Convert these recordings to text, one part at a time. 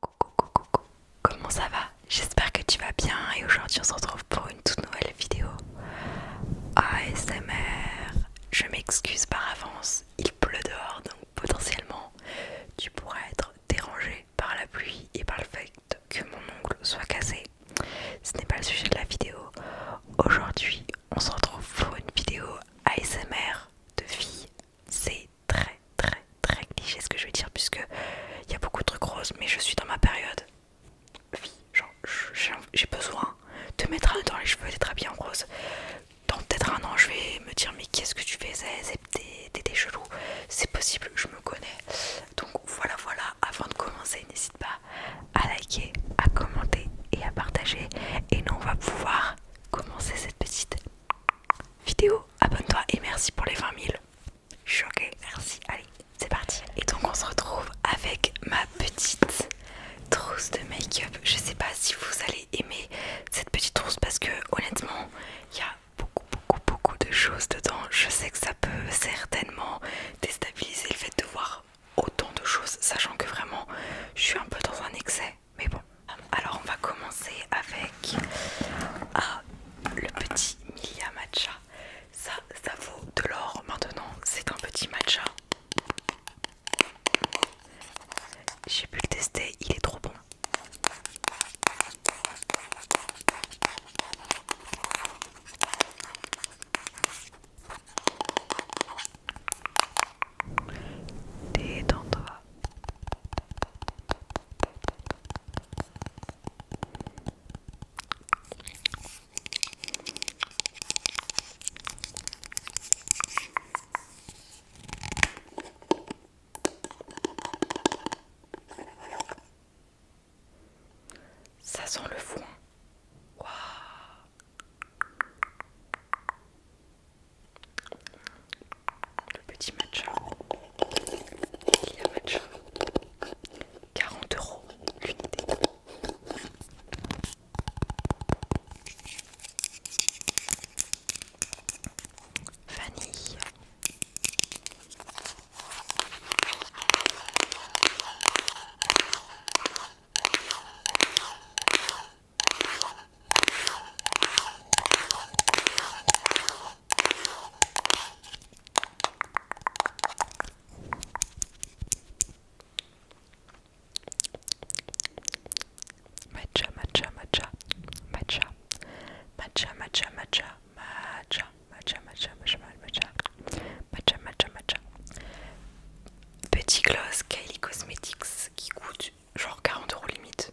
Coucou, coucou, coucou, comment ça va J'espère que tu vas bien et aujourd'hui on se retrouve pour une toute nouvelle vidéo ASMR. Je m'excuse par avance, il pleut dehors donc potentiellement tu pourrais être dérangé par la pluie et par le fait que mon ongle soit cassé. Ce n'est pas le sujet de la vidéo. Aujourd'hui on se retrouve pour une vidéo ASMR de filles. C'est très très très cliché ce que je vais dire puisque il y a beaucoup de trucs roses mais je suis dans ma période vie j'ai besoin de mettre un dans les cheveux d'être habillée en rose dans peut-être un an je vais me dire mais qu'est-ce que tu faisais des chelous c'est possible je me connais donc voilà voilà avant de commencer n'hésite pas à liker à commenter et à partager et nous on va pouvoir commencer cette petite vidéo. Abonne-toi et merci pour les 20 000. Je suis ok merci. Allez, c'est parti. Et donc on se retrouve avec ma petite trousse de make-up. Je sais pas si vous allez aimer cette petite trousse parce que honnêtement, il y a beaucoup, beaucoup, beaucoup de choses dedans. Je sais que ça peut certainement déstabiliser le fait de voir autant de choses, sachant que vraiment, je suis un peu dans un excès mais bon. Alors on va commencer avec ah, le petit Milia Matcha. Ça, ça vaut de l'or maintenant. C'est un petit matcha. J'ai pu le tester, il est trop bon dans toi Ça sent le fond Waouh le petit matcha. 40 euros l'unité. Vanille. Matcha, matcha, Petit gloss Kylie Cosmetics qui coûte genre 40 euros limite.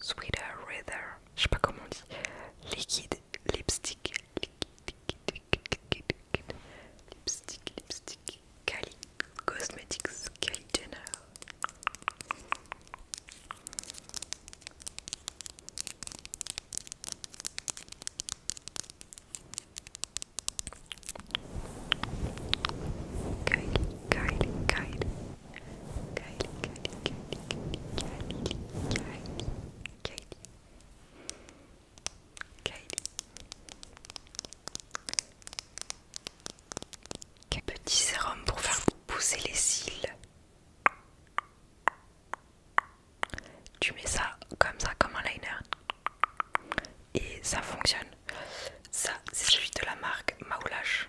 Sweeter Rather, je sais pas comment on dit. Liquide lipstick, lipstick, lipstick, Cosmetics, quel Petit sérum pour faire pousser les cils. Tu mets ça comme ça, comme un liner. Et ça fonctionne. Ça, c'est celui de la marque Maoulash.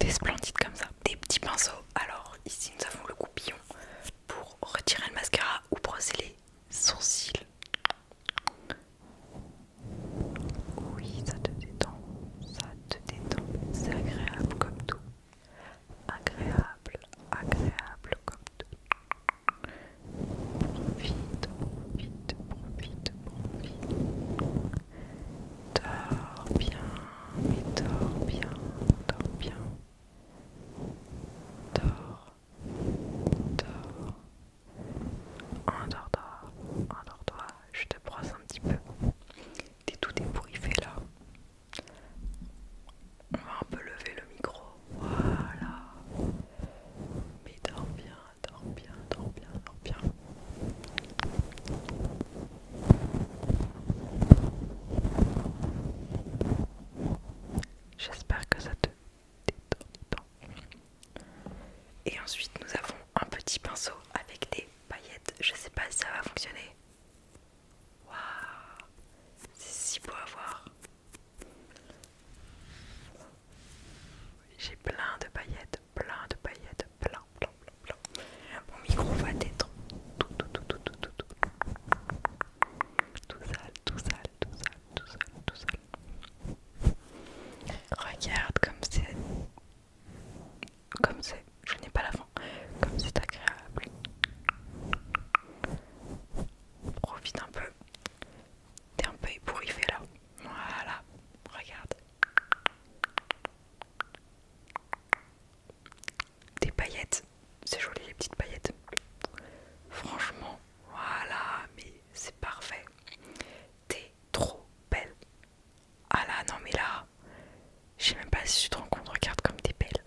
Des splendides comme ça. Des petits pinceaux. Alors ici nous avons le goupillon pour retirer le mascara ou brosser les sourcils. Oui, ça te détend, ça te détend. C'est agréable comme tout. Agréable, agréable comme tout. Profite, profite, profite, profite. Dors bien, mais dors bien, dors bien. Dors, dors. endors endors Je te brosse un petit peu. T'es tout débourriffé là. On va un peu lever le micro voilà. Mais dors bien, dors bien, dors bien, dors bien. J'espère que ça te détend. Et ensuite, nous avons un petit pinceau avec des paillettes. Je sais pas si ça va fonctionner. Waouh, c'est si beau à voir. J'ai plein de paillettes, plein de paillettes, plein, plein, plein, plein. Mon micro va être tout, tout, tout, tout, tout, tout, tout. Tout sale, tout sale, tout sale, tout sale, tout sale. Regarde comme c'est... Comme c'est... Je n'ai pas la Comme c'est agréable. Profite un peu. T'es un peu ébouriffé là. Voilà, regarde. Des paillettes. C'est joli les petites paillettes. Franchement, voilà, mais c'est parfait. T'es trop belle. Ah là, non mais là, je sais même pas si tu te rends compte, regarde comme t'es belle.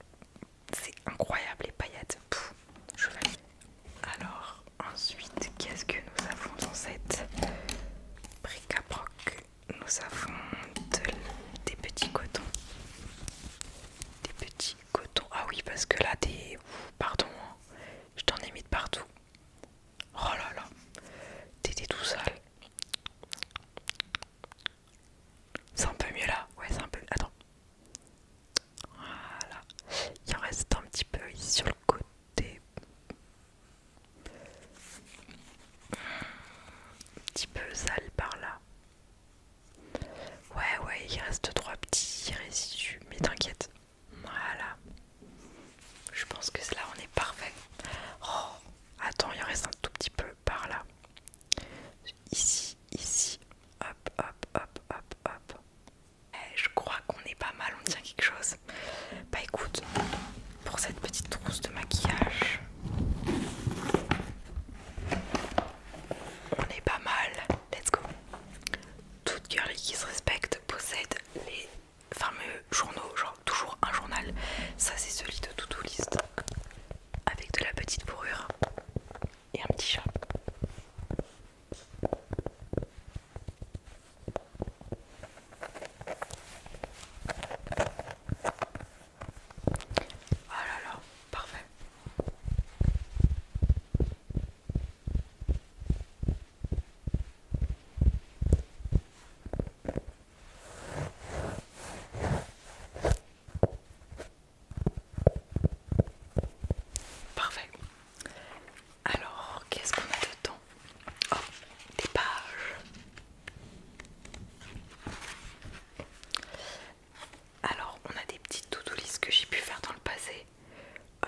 C'est incroyable les paillettes je Alors, ensuite, qu'est-ce que nous avons dans cette bric à Nous avons des petits cotons. Des petits cotons. Ah oui, parce que là, des. Pardon, hein, je t'en ai mis de partout. Oh là là, t'étais tout seul. C'est un peu mieux là. Ouais, c'est un peu. Attends. Voilà. Il en reste un petit peu ici sur le côté. Un petit peu sale par là. Ouais, ouais, il reste trois petits résidus. Mais t'inquiète. Voilà. Je pense que là, on est parfait. Oh, attends, il en reste un tout petit peu par là. Ici, ici. Hop, hop, hop, hop, hop. Eh, je crois qu'on est pas mal, on tient quelque chose. Bah écoute, pour cette petite trousse de maquillage, on est pas mal. Let's go. Toute girl qui se respecte possède les fameux journaux, genre toujours un journal. Ça c'est celui de to list avec de la petite bourrure et un petit chat. Oh là là, parfait. Parfait. Alors, qu'est-ce qu'on a dedans Oh, des pages. Alors, on a des petites to-do list que j'ai pu faire dans le passé. Euh,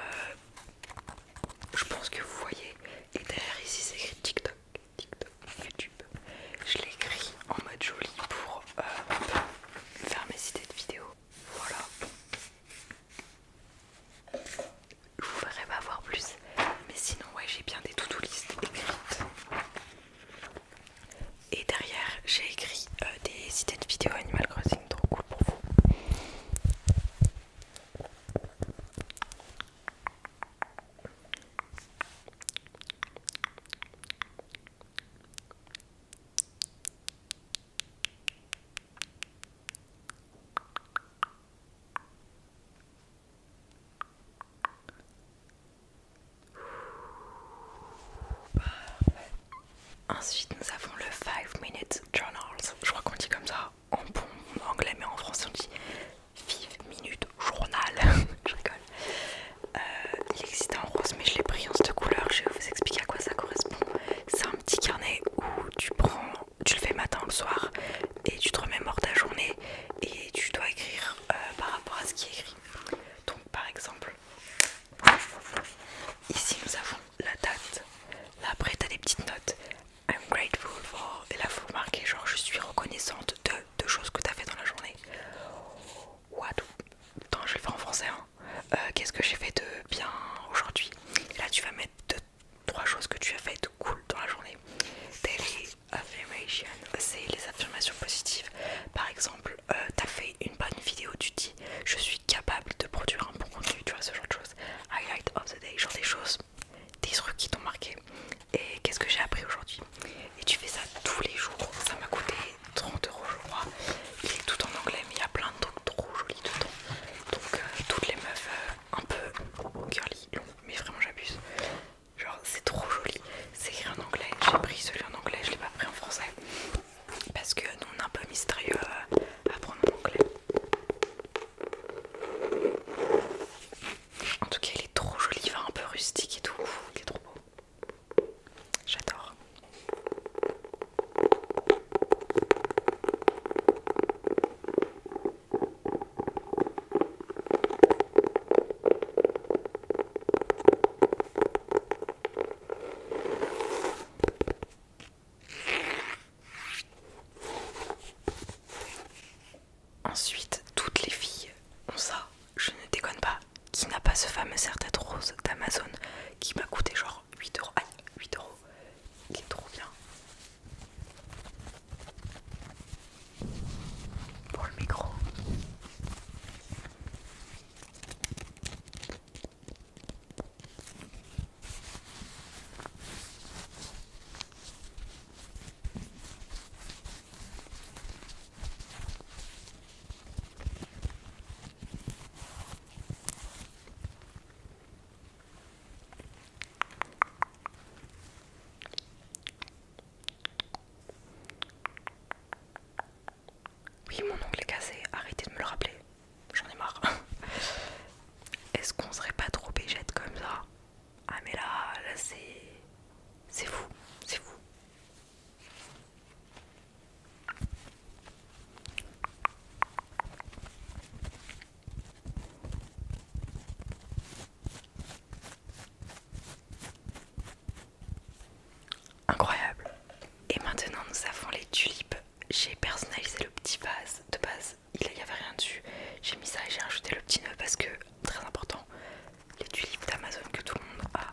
je pense que vous voyez. Et derrière ici, c'est écrit TikTok, TikTok, YouTube. Je écrit en mode joli pour euh, faire mes idées de vidéos. Voilà. Je vous m'avoir pas plus. Mais sinon, ouais, j'ai bien des to-do list écrites. Et derrière, j'ai écrit euh, des idées de vidéos Animal Crossing, trop cool pour vous. Parfait. Ensuite, nous avons le 5 minutes journal, Je crois qu'on dit comme ça en bon anglais, mais en français on dit 5 minutes Journal. Je rigole. Euh, il existe en rose, mais je l'ai pris en cette couleur. Je vais vous expliquer à quoi ça correspond. C'est un petit carnet où tu prends, tu le fais matin ou le soir, et tu te remets hors ta journée et tu dois écrire euh, par rapport à ce qui est écrit. Donc, par exemple, ici nous avons la date. Là, après, tu des petites notes. I'm grateful for. Et là, faut remarquer, genre, je suis reconnaissante de, de choses que tu as fait dans la journée. What? Attends, je vais le faire en français. Hein. Euh, qu'est-ce que j'ai fait de bien aujourd'hui là, tu vas mettre deux, trois choses que tu as faites cool dans la journée. Daily affirmation, c'est les affirmations positives. Par exemple, euh, tu as fait une bonne vidéo, tu dis je suis capable de produire un bon contenu, tu vois ce genre de choses. Highlight of the day, genre des choses, des trucs qui t'ont marqué. Et qu'est-ce que j'ai appris aujourd'hui Et tu fais ça tous les jours. Ça m'a coûté 30 euros je crois. Il est tout en anglais mais il y a plein de trucs trop jolis dedans. Donc euh, toutes les meufs euh, un peu curly, mais vraiment j'abuse. Genre c'est trop joli. C'est écrit en anglais. J'ai pris celui en anglais, je l'ai pas pris en français. Parce que nous on est un peu mystérieux euh, à prendre en anglais. En tout cas il est trop joli, il va un peu rustique et tout. Il est trop beau. J'adore. Ensuite, toutes les filles ont ça je ne déconne pas, qui n'a pas ce fameux serre-tête rose d'Amazon qui m'a coûté genre 8 euros. Aïe, 8 euros, qui est trop bien. Pour le micro. Oui, mon oncle est cassé, arrêtez de me le rappeler, j'en ai marre. Est-ce qu'on serait pas trop bégette comme ça Ah mais là, là c'est... C'est fou, c'est fou. Incroyable. Et maintenant nous avons les tulipes. J'ai personnalisé le petit base de base, il n'y avait rien dessus. J'ai mis ça et j'ai ajouté le petit nœud parce que, très important, les tulipes d'Amazon que tout le monde a.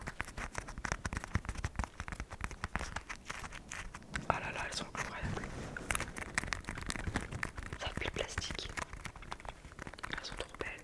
Ah là là, elles sont incroyables. Ça pue le plastique. Elles sont trop belles.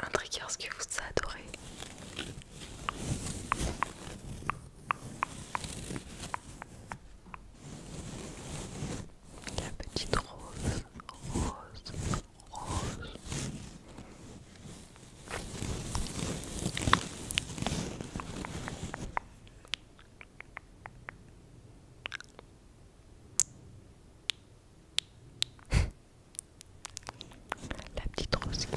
Un tricker ce que vous adorez. La petite rose, rose, la petite rose qui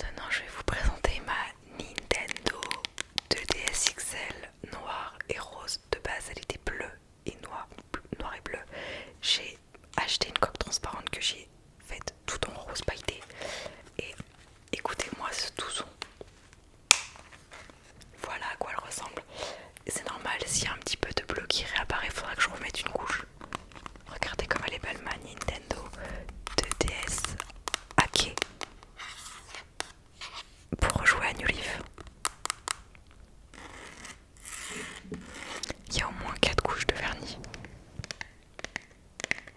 Maintenant, je vais vous présenter ma Nintendo 2DS XL noire et rose. De base, elle était bleue et noire, noir et bleu. J'ai acheté une coque transparente que j'ai faite tout en rose pailleté. Et écoutez-moi ce doux son. Voilà à quoi elle ressemble. C'est normal, s'il y a un petit peu de bleu qui réapparaît, il faudra que je remette une couche. Regardez comme elle est belle ma Nintendo 2DS hackée pour rejouer à New Leaf. Il y a au moins 4 couches de vernis.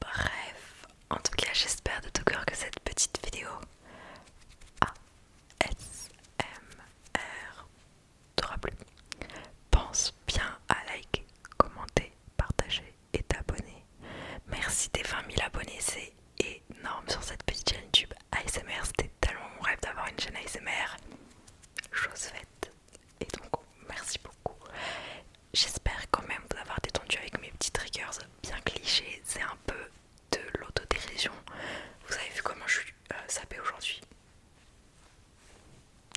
Bref, en tout cas j'espère de tout cœur que cette petite vidéo ASMR t'aura plu. Pense bien à liker, commenter, partager et t'abonner. Merci des 20 000 abonnés, c'est énorme sur cette petite chaîne YouTube ASMR. C'était tellement mon rêve d'avoir une chaîne ASMR. Chose faite. Et donc, merci beaucoup. J'espère quand même vous avoir détendu avec mes petits triggers bien clichés. C'est un peu de l'autodérision. Vous avez vu comment je suis euh, ça paie aujourd'hui.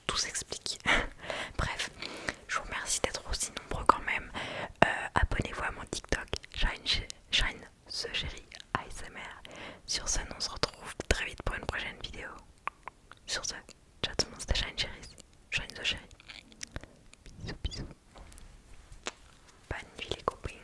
Tout s'explique. Bref, je vous remercie d'être aussi nombreux quand même. Euh, abonnez-vous à mon TikTok, Shine, Shine The Chéri ASMR. Sur ce, on se retrouve très vite pour une prochaine vidéo. Sur ce, ciao tout le monde, c'était Shine Chéri. Bisous, bisous. Bonne nuit les copines.